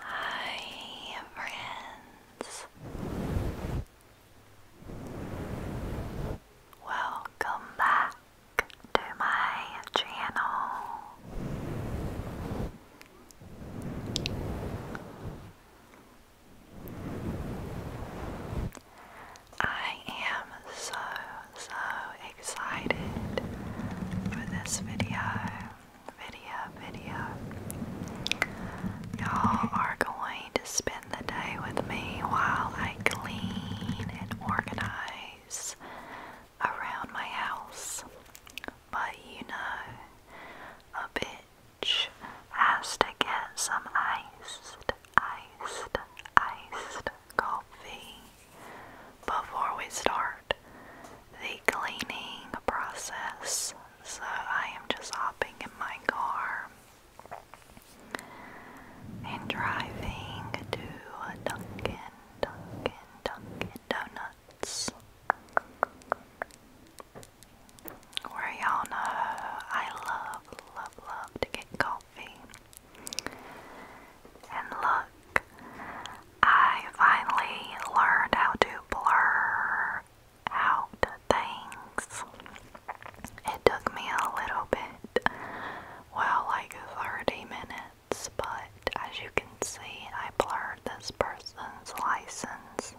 Hi, friends. Welcome back to my channel. I am so, so excited for this video. Video, video. Y'all are going to spend the day with me while I clean and organize around my house. But you know, a bitch has to get some iced, iced, iced coffee before we start the cleaning process. So I am just hopping in my car and driving to Dunkin', Dunkin', Dunkin' Donuts. Where y'all know I love, love, love to get coffee. And look, I finally learned how to blur out things. It took me a little bit, well, like 30 minutes, but as you can see, I blurred this person's license,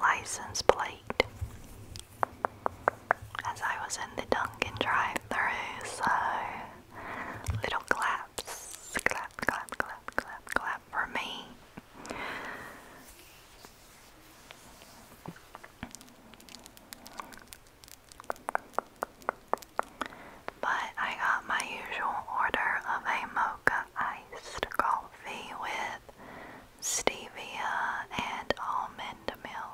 license plate. As I was in the Dunkin' drive through so little claps. Clap, clap, clap, clap, clap for me. But I got my usual order of a mocha iced coffee with stevia and almond milk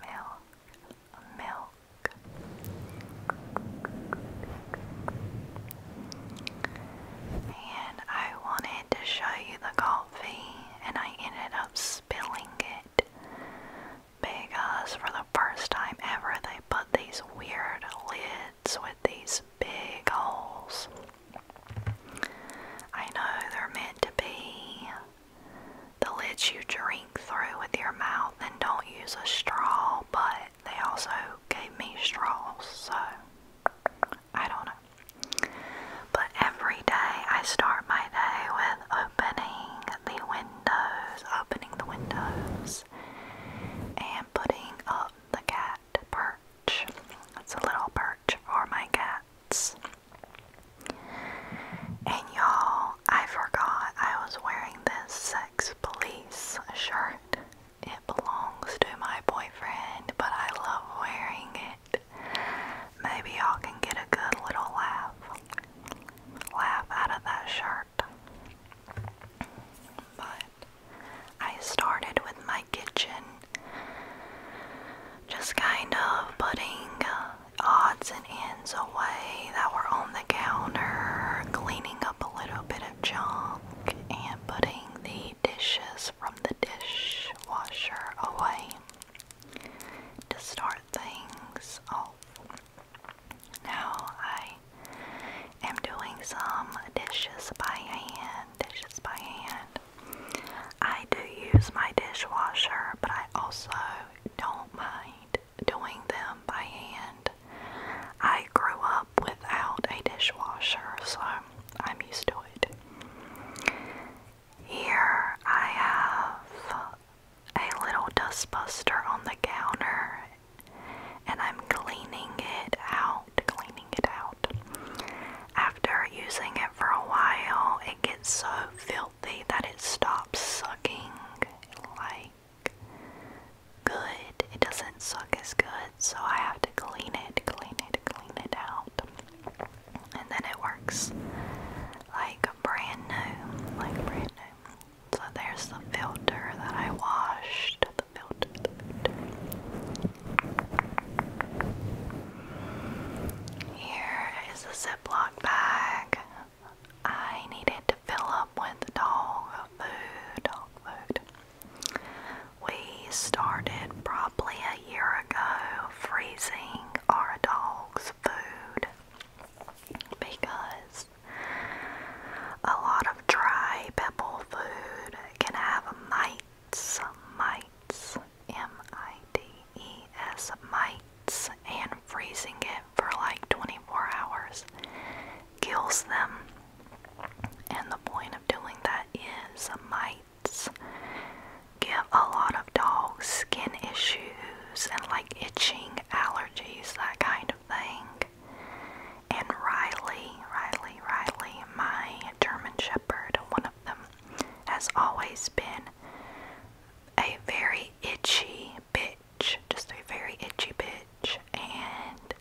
milk, milk. And I wanted to show you the coffee, and I ended up spilling it because for the first time ever they put these weird lids with these big holes. I know they're meant to be the lids you drink through with your mouth and don't use a straw, but they also gave me straws, so I don't know. But every day I start my day with opening the windows, opening the windows, and putting up the cat perch. It's a little perch for my cats. And y'all, I forgot I was wearing this Sex Police shirt. It belongs to my boyfriend, but I love wearing it. Maybe y'all can get a good little laugh. Laugh out of that shirt. But I started with my kitchen, just kind of putting uh, odds and ends away that were on the counter, cleaning up a little bit of junk, and putting the dishes from the dishwasher away to start things off. Now I am doing some dishes by hand. Dishes by hand. I do use my dishwasher, but I also don't mind doing them by hand. I grew up without a dishwasher, so I'm used to it. Here I have a little dustbuster on the counter and I'm cleaning it out, cleaning it out. After using it for a while, it gets so filthy that it stops sucking like good. It doesn't suck as good, so I have to clean it, clean it, clean it out. And then it works like brand new, like brand new. So there's the filter that I washed. The the filter. Here is the Ziploc got I needed to fill up with dog food. Dog food. We started probably a year ago freezing our dog's food because a lot of dry pebble food can have mites, mites, M I T AES mites and freezing it for like 24 hours kills them. And the point of doing that is mites give a lot of dogs skin issues and like itching, allergies, that kind of thing. And Riley, Riley, Riley, my German Shepherd, one of them, has always been a very itchy bitch, just a very itchy bitch. And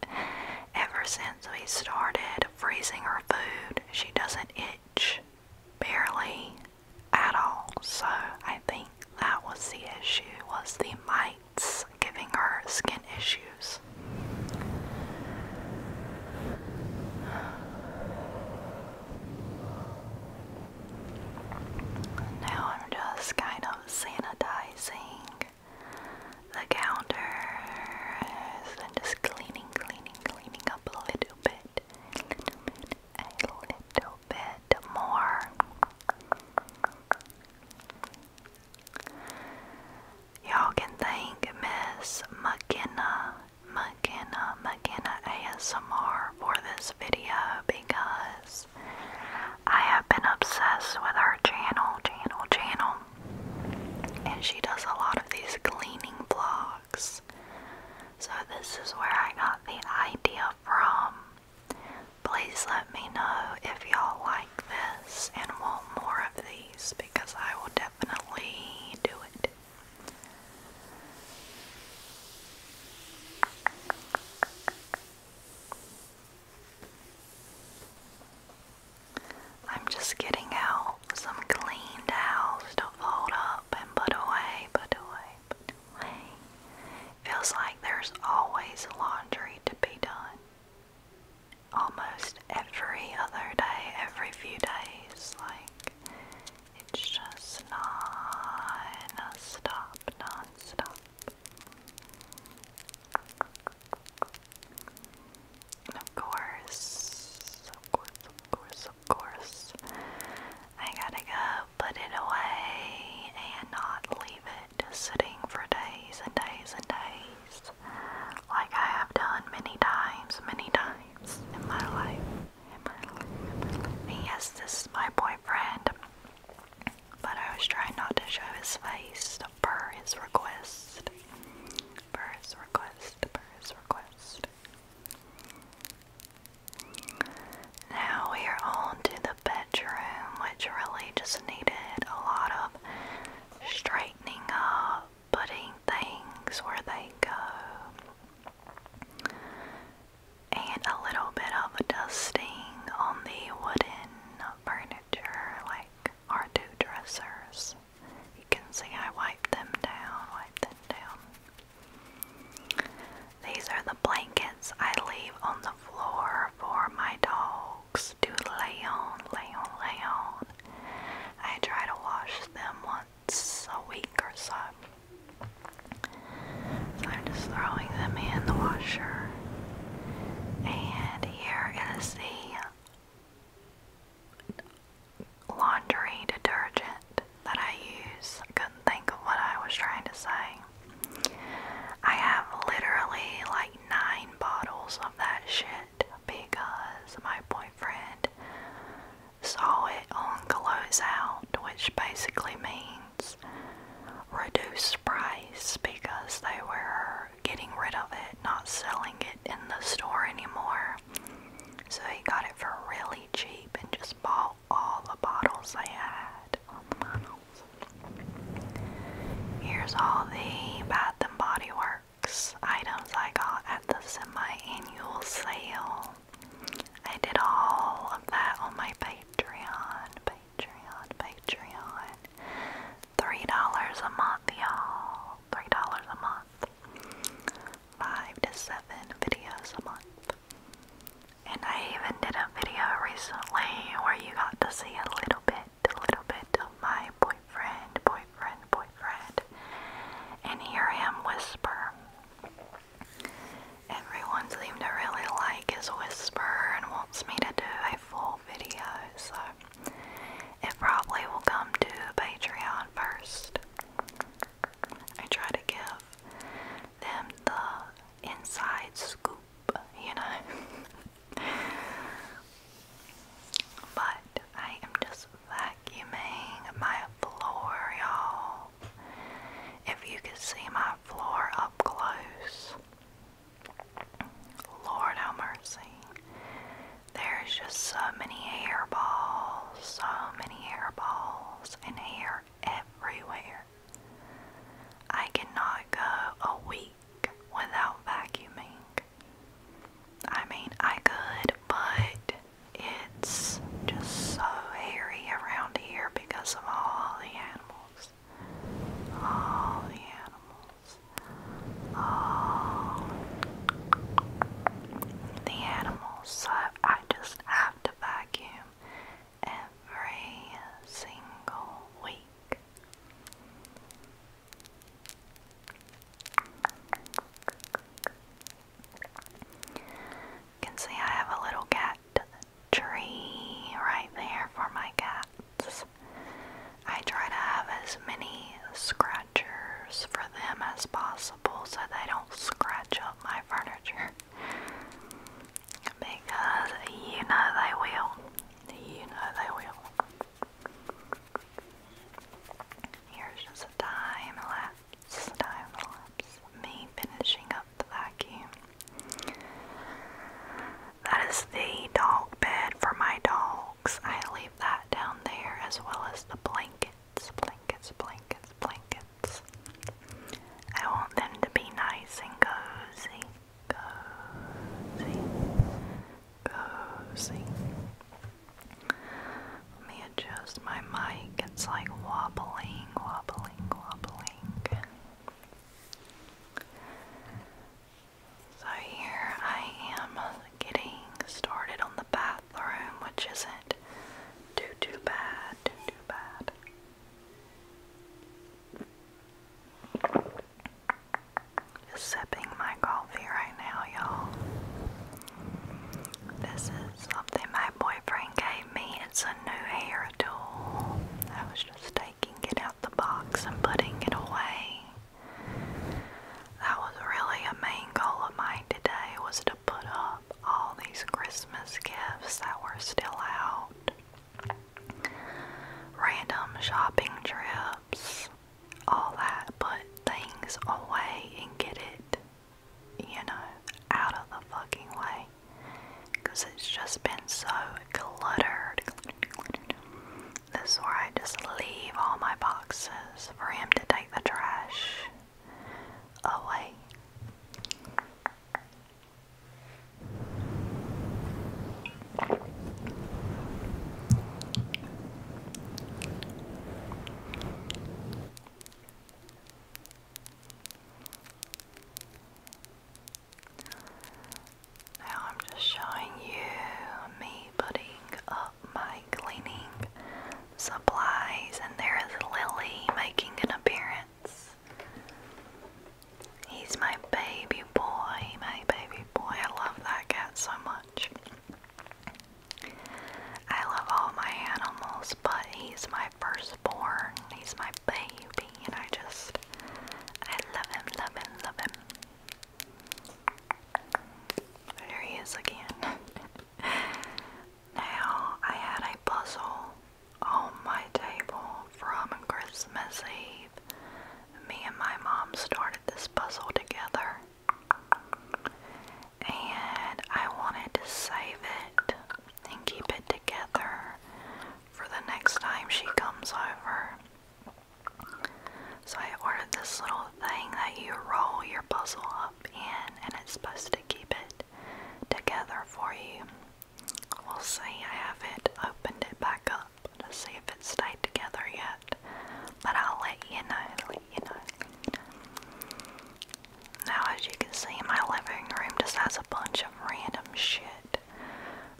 ever since we started freezing her food, she doesn't itch barely at all. So I think that was the issue was the mites giving her skin issues. Now I'm just kind of sanitizing the counters and just cleaning, cleaning, cleaning up a little bit, and little bit, a little bit more. Y'all can thank Miss McKenna, McKenna, McKenna ASMR for this video because I have been obsessed with her channel, channel, channel, and she does a lot of these cleaning vlogs. So, this is where I got the idea from. Please let me know if y'all like this and want more of these because I will definitely do it. I'm just getting out some clean towels to fold up and put away, put away, put away. Feels like there's always laundry to be done. Almost every other day, every few days, like it's just non stop, of course, of course, of course, of course, I gotta go put it away and not leave it sitting for days and days and days, like I have done many times, many times in my life yes, this is my boyfriend, but I was trying not to show his face per his request. Per his request, per his request. Now we are on the bedroom, which really just needed a lot of straightening up, putting things where they go and a little bit of dusting on the wooden furniture, like our two dressers. You can see I wipe them down, wiped them down. These are the blankets I leave on the floor for my dogs to lay on, lay on, lay on. I try to wash them once a week or so. I'm just throwing them in the washer. And here is the laundry detergent that I use. I couldn't think of what I was trying to say. I have literally like nine bottles of that shit because my boyfriend saw it on Closeout, which basically means reduced price because they were getting rid of it, not selling it in the store anymore. So he got it for really cheap and just bought all the bottles they had. Here's all the Bath and Body Works items I got at the semi-annual sale. I did all of that on my Patreon, Patreon, Patreon. Three dollars a month, y'all. Three dollars a month. Five to seven videos a month. And I even did a video recently where you got to see a little bit, a little bit of my boyfriend, boyfriend, boyfriend, and hear him whisper. Everyone seems to really like his whisper and wants me to do a full video, so it probably will come to Patreon first. I try to give them the inside scoop, you know. but I am just vacuuming my floor, y'all. If you could see my floor up close, Lord have mercy. There's just so many hairballs, so many hairballs, and hair everywhere. I cannot go a week without vacuuming. I mean, I could, but it's just so hairy around here here because of all the animals. All the animals. All the animals. I just have to vacuum every single week. You can see I have a little cat tree right there for my cats. I try to have as many scratchers for them as possible so they don't scratch up my furniture. Because you know they will. You know they will. Here's just a time lapse, time lapse, me finishing Blackie. That is the dog bed for my dogs. I leave that down there as well as the blankets, blankets, blankets, blankets. I want them to be nice and cozy, cozy, cozy. Let me adjust my mic. It's like wobbling, wobbling, wobbling. So here I am getting started on the bathroom, which isn't too too bad, too too bad. Just sipping my coffee right now, y'all. This is something my boyfriend gave me it's a new hair tool. I was just taking it out the box and putting it away. That was really a main goal of mine today was to put up all these Christmas gifts that were still out. Random shopping trips, all that, put things away and get it, you know, out of the fucking way because it's just been so cluttered. This is where I just leave all my boxes for him to take the trash away. Now I'm just showing you me putting up my cleaning supplies, and there is Lily making an appearance. He's my baby boy, my baby boy. I love that cat so much. I love all my animals, but he's my firstborn. He's my baby, and I just, I love him, love him, love him. There he is again. now, I had a puzzle on my table from Christmas Eve. Me and my mom started this puzzle together. And I wanted to save it and keep it together for the next time she comes over. So I ordered this little thing that you roll your puzzle up in and it's supposed to keep it together for you. We'll see. I haven't opened it back up to see if it's stayed together yet. But I'll let you know, let you know. Now as you can see my living room just has a bunch of random shit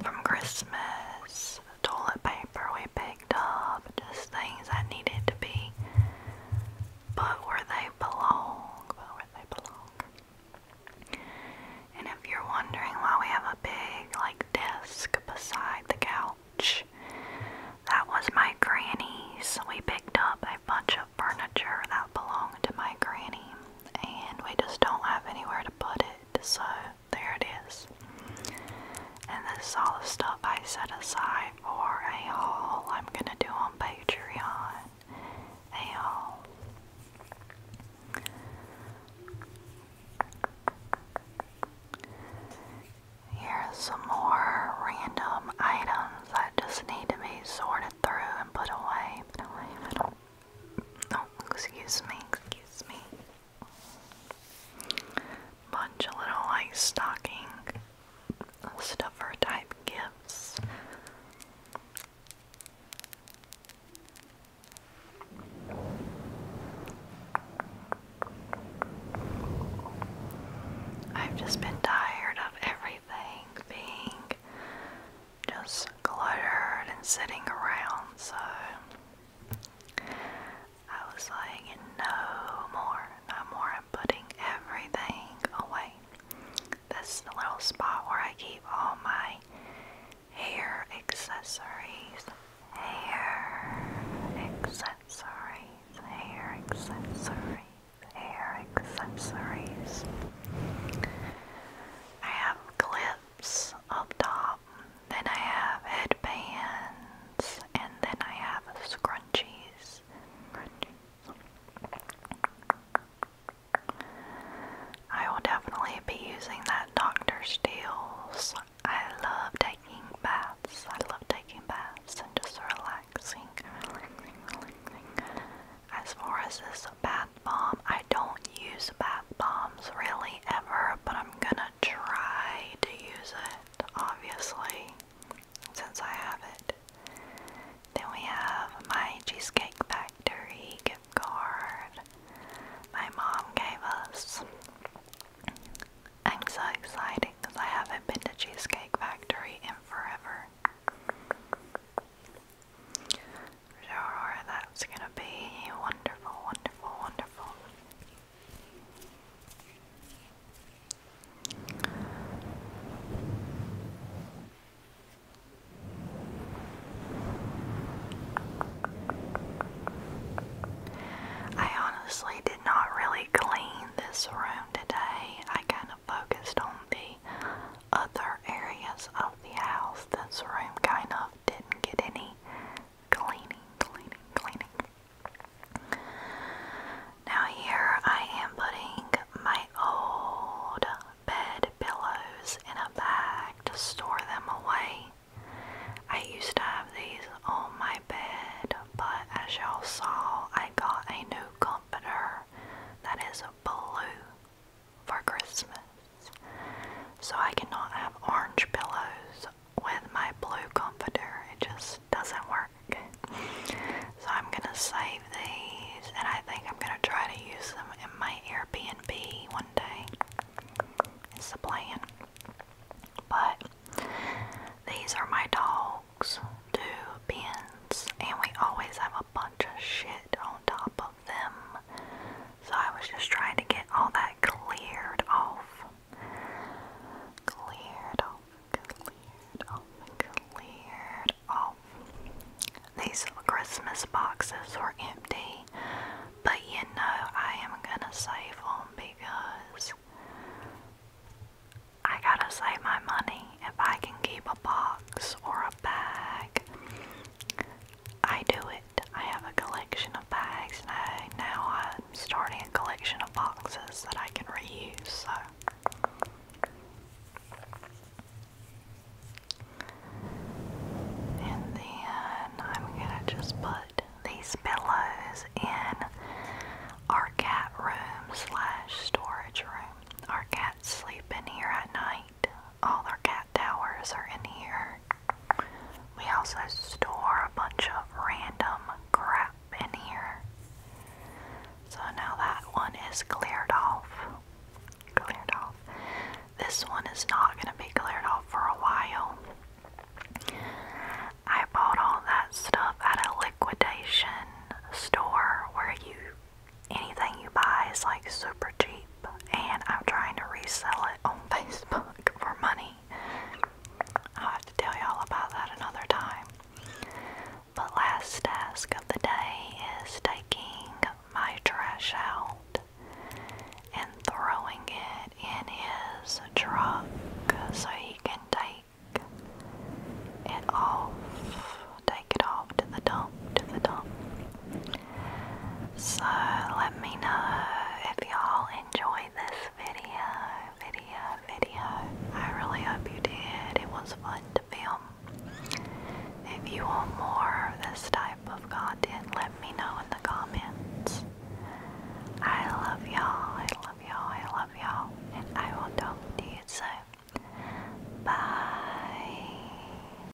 from Christmas, toilet paper we picked up, just things that needed to be but where they belong, where they belong. And if you're wondering why we have a big like desk beside the couch, that was my granny's. We picked up a bunch of furniture that belonged to my granny, and we just don't have anywhere to put it, so there it is. And this is all the stuff I set aside for a haul I'm gonna do on Patreon. A haul. Here's some more random items that just need to be sorted through and put away. put away. Oh, excuse me, excuse me. Bunch of little like stocking stuffer type gifts. I've just been tired of everything being just cluttered and sitting around, so I was like, no more, no more. I'm putting everything away. This is the little spot where I keep all my hair accessories. Hair accessories, hair accessories, hair accessories. I have clips up top, then I have headbands, and then I have scrunchies. I will definitely be using that Dr. Steele's. I love taking baths. I love taking baths and just relaxing, relaxing. As far as this bath bomb, I don't use bath bombs really ever, but I'm gonna try to use it, obviously, since I have it. Then we have my Cheesecake Factory gift card my mom gave us. I'm so excited because I haven't been to Cheesecake Factory in forever. Sure, that's gonna be wonderful, wonderful, wonderful. I honestly did not really clean this room today. I kind of focused on the other areas of the house. This room kind of didn't get any cleaning, cleaning, cleaning. Now, here I am putting my old bed pillows in a bag to store them away. I used to have these on my bed, but as y'all saw, I got a new comforter that is blue for Christmas. So I cannot have orange pillows with my blue comforter. It just doesn't work. So I'm gonna save these and I think I'm gonna try to use them in my Airbnb one day. It's the plan. But these are my dogs, two pins, and we always have a bunch of shit on top top them. So I was just trying to get all that cleared off. Cleared off, cleared off, cleared off. These Christmas boxes were empty, but you know I am gonna save them because I gotta save my money. If I can keep a box or a bag, I do it. I have a collection of bags, and I, now I'm starting a collection of boxes that I can reuse. So. And then I'm gonna just put these pillows in our cat room slash storage room. Our cats sleep in here at night, all our cat towers are in here. We also store a bunch of random crap in here. So now that one is cleared off. Cleared off. This one is not going to be cleared off for a while. I bought all that stuff at a liquidation store where you anything you buy is like super cheap, and I'm trying to resell it on Facebook for money. I'll have to tell y'all about that another time. But last task of the day is taking my trash out and throwing it in his truck so he can take it off, take it off to the dump, to the dump. So let me know if y'all enjoyed this video, video, video. I really hope you did. It was fun to film. If you want more of this type of content, let me know in the comments. I love y'all. I love y'all. I love y'all. And I will talk to you soon. Bye.